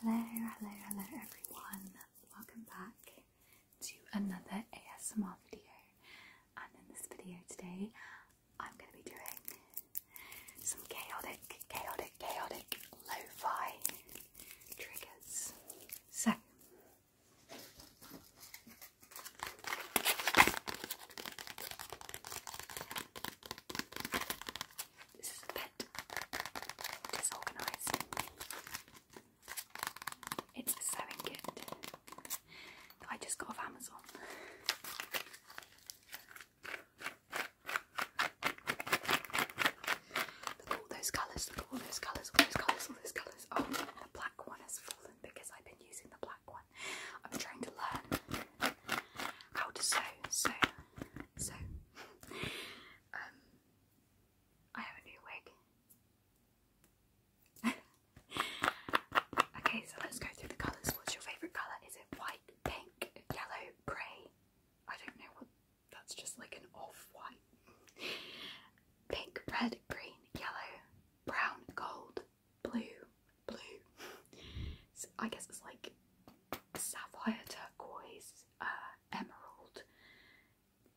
Hello, hello, hello everyone. Welcome back to another ASMR video. And in this video today, I'm going to be doing some chaotic, chaotic, chaotic lo-fi triggers. So, this is a pet. disorganised. It's a sewing kit that I just got off Amazon. Look at all those colours, look at all those colours, all those colours, all those colours. Oh, the black one has fallen because I've been using the black one. I'm trying to learn how to sew, so, so. um, I have a new wig. okay, so let's go through the colours. What's your favourite colour? Is it white, pink, yellow, grey? I don't know That's just like an off white. Pink, red, green, yellow, brown, gold, blue, blue. I guess it's like sapphire, turquoise, uh, emerald.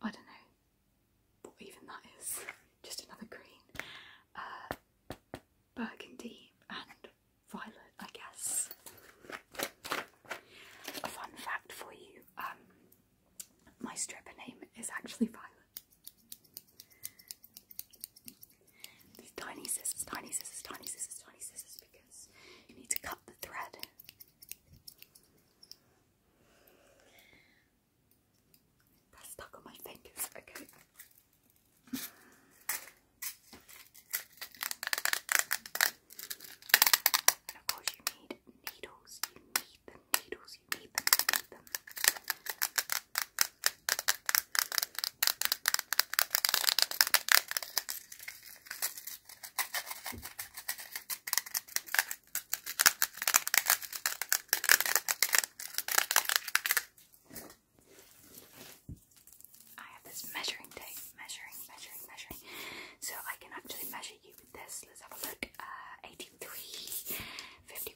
I don't know what even that is. Just another green. Uh, burgundy and violet, I guess. A fun fact for you: um, my stripper name is actually Violet tiny scissors, tiny scissors, tiny scissors, tiny scissors, because you need to cut the thread. stuck on my fingers, okay. And of course you need needles, you need them, needles, you need them, need them. I have this measuring tape, measuring, measuring, measuring. So I can actually measure you with this. Let's have a look. Uh, 83,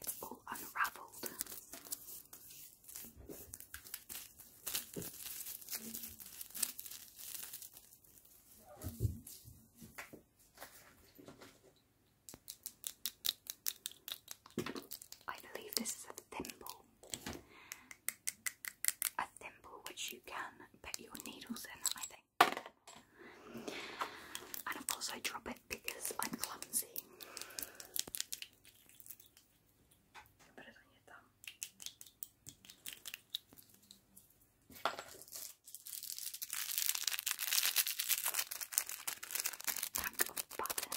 It's all unraveled. I believe this is a thimble. A thimble which you can put your needles in, I think. And of course, I drop it because I'm clumsy. put it on your thumb. Pack of buttons.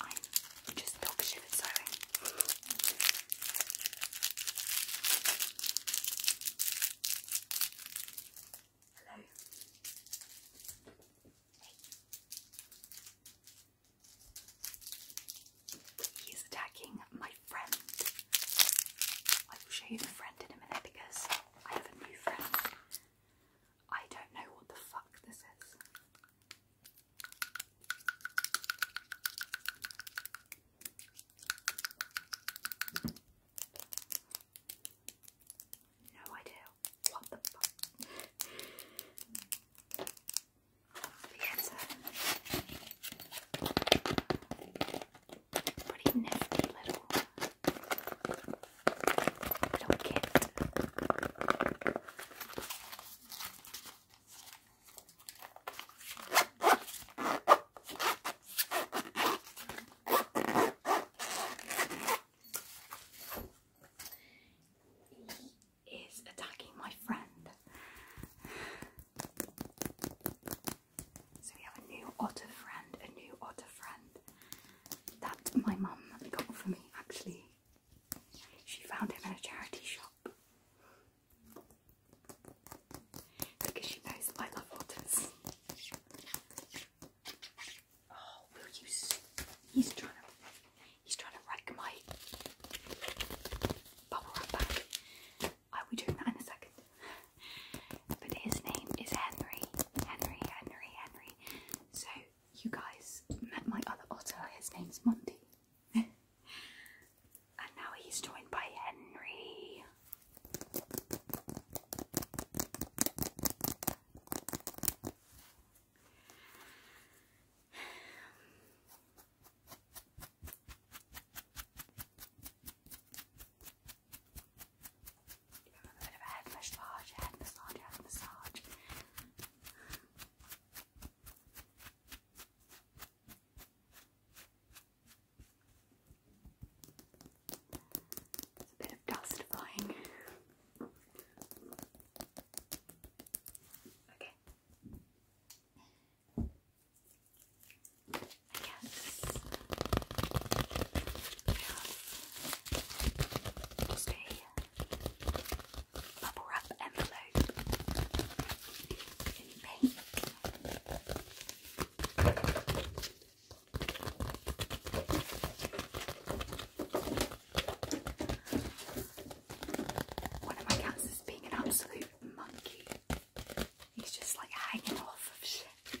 I'm just dog shit Hello. Hey. He attacking my friend. I will show you the friend in a minute because I have a new friend. I don't know what the fuck this is. No idea what the fuck. yes, pretty nifty little I don't get He is attacking my friend. So we have a new otter friend, a new otter friend that my mum got for me actually. She found him in a charity shop because she knows I love otters. Oh, will you? He's trying to. He's trying to wreck my bubble wrap bag. I'll be doing that in a second. But his name is Henry. Henry. Henry. Henry. So you guys met my other otter, his name's Monty. and now he's joined by Henry. Give him a bit of a head massage, head massage, head massage. There's a bit of dust flying. Okay. I bubble wrap envelope in pink. One of my cats is being an absolute monkey. He's just like hanging off of shit.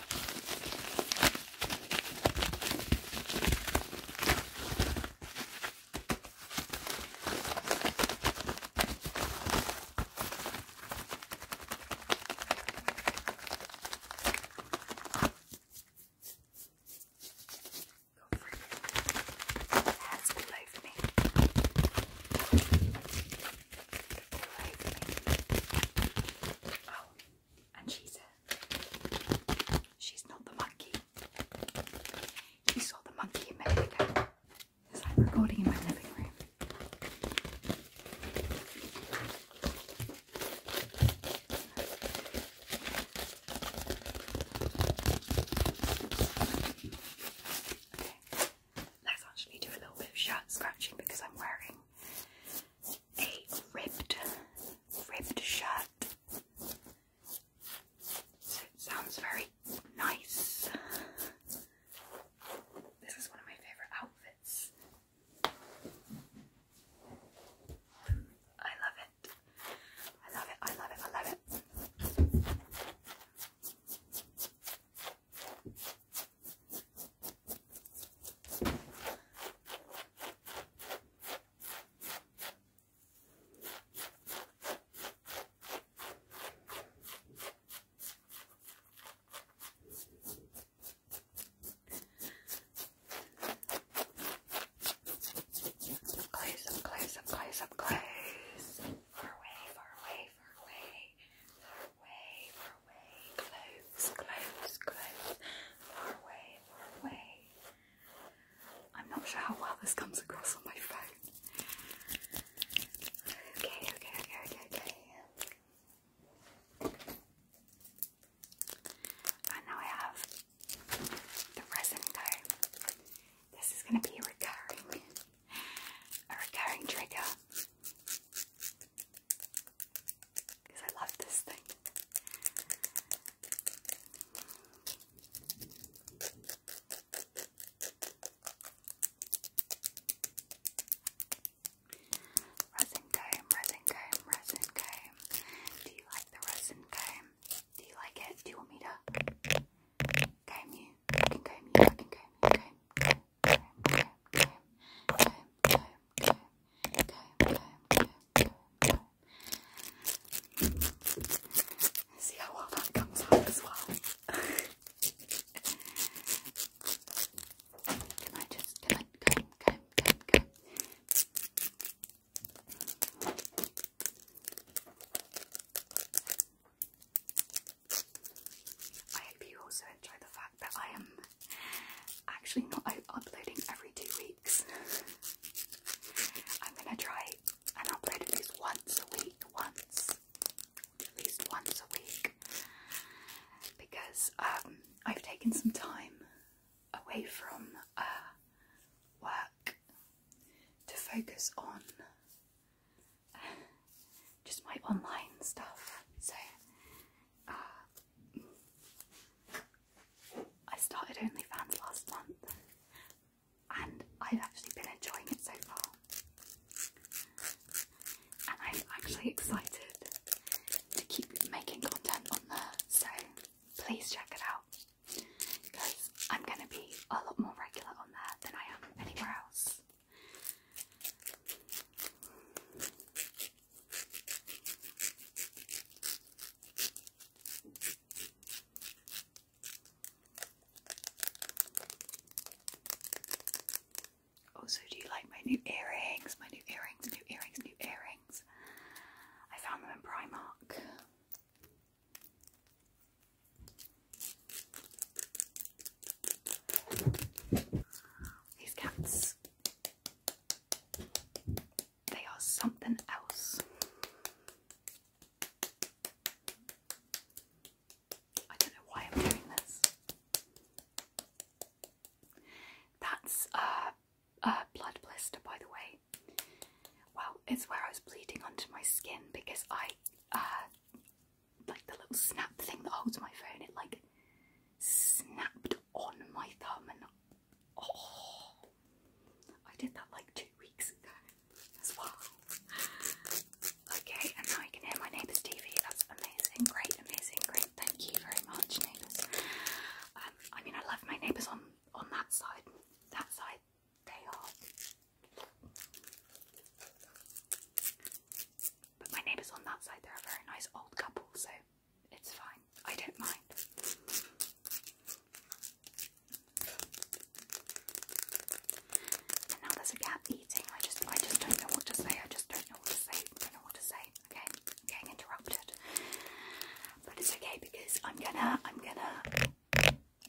Go for it. It has believed me. Oh, and she's uh, she's not the monkey. You saw the monkey a minute ago. It's like recording in my living room. Okay let's actually do a little bit of shirt scratching because I'm wearing a ripped, ribbed shirt. So it sounds very nice. This is one of my favourite outfits. I love it. I love it, I love it, I love it. Close up, close up, close up, close. Far away, far away, away, far away, far away, close, close, close, far away, far away. I'm not sure how well this comes across on my phone. Okay, okay, okay, okay, okay. And now have the resin comb. This is going to be recurring a recurring trigger because I love this thing. Resin comb, resin comb, resin comb. Do you like the resin comb? Do you like it? Do you want me to comb you? Okay. you fucking comb, comb, comb, comb, comb, comb, comb, comb, comb, comb, See how well that comes out as well. Can I just, can I, comb, comb, I hope you also enjoy the fact that I am actually not uploading every two weeks. I'm gonna try and upload at least once a week, once, at least once a week, because um, I've taken some time away from uh, work to focus on just my online stuff. So uh, I started OnlyFans last month, and I've actually been enjoying it so far. And I'm actually excited to keep making content on there, so please check it out because I'm going to be a lot more regular on there than I am anywhere else. Also, do you like my new earrings? My new earrings, new earrings, new earrings. I found them in Primark. These cats, they are something else. I don't know why I'm doing this. That's a, uh, a uh, blood blister, by the way why? Well, it's where I was bleeding onto my skin because I, uh, like the little snap thing that holds my phone, it like snapped on my thumb and oh, I did that like two weeks ago as well. Okay, and now I can hear my neighbour's TV. That's amazing, great, amazing, great. Thank you very much, neighbours. Um, I mean, I love my neighbours on on that side, that side, they are. But my neighbours on that side, they're a very nice old couple, so it's fine. I don't mind. And now there's a cat eating. I just, I just don't know what to say. I just don't know what to say. Don't know what to say. Okay, getting interrupted, but it's okay because I'm gonna, I'm gonna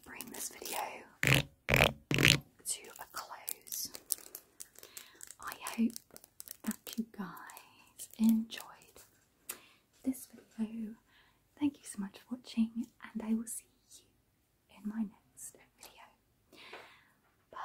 bring this video to a close. I hope that you guys enjoyed this video. Thank you so much for watching, and I will see you in my next video. Bye.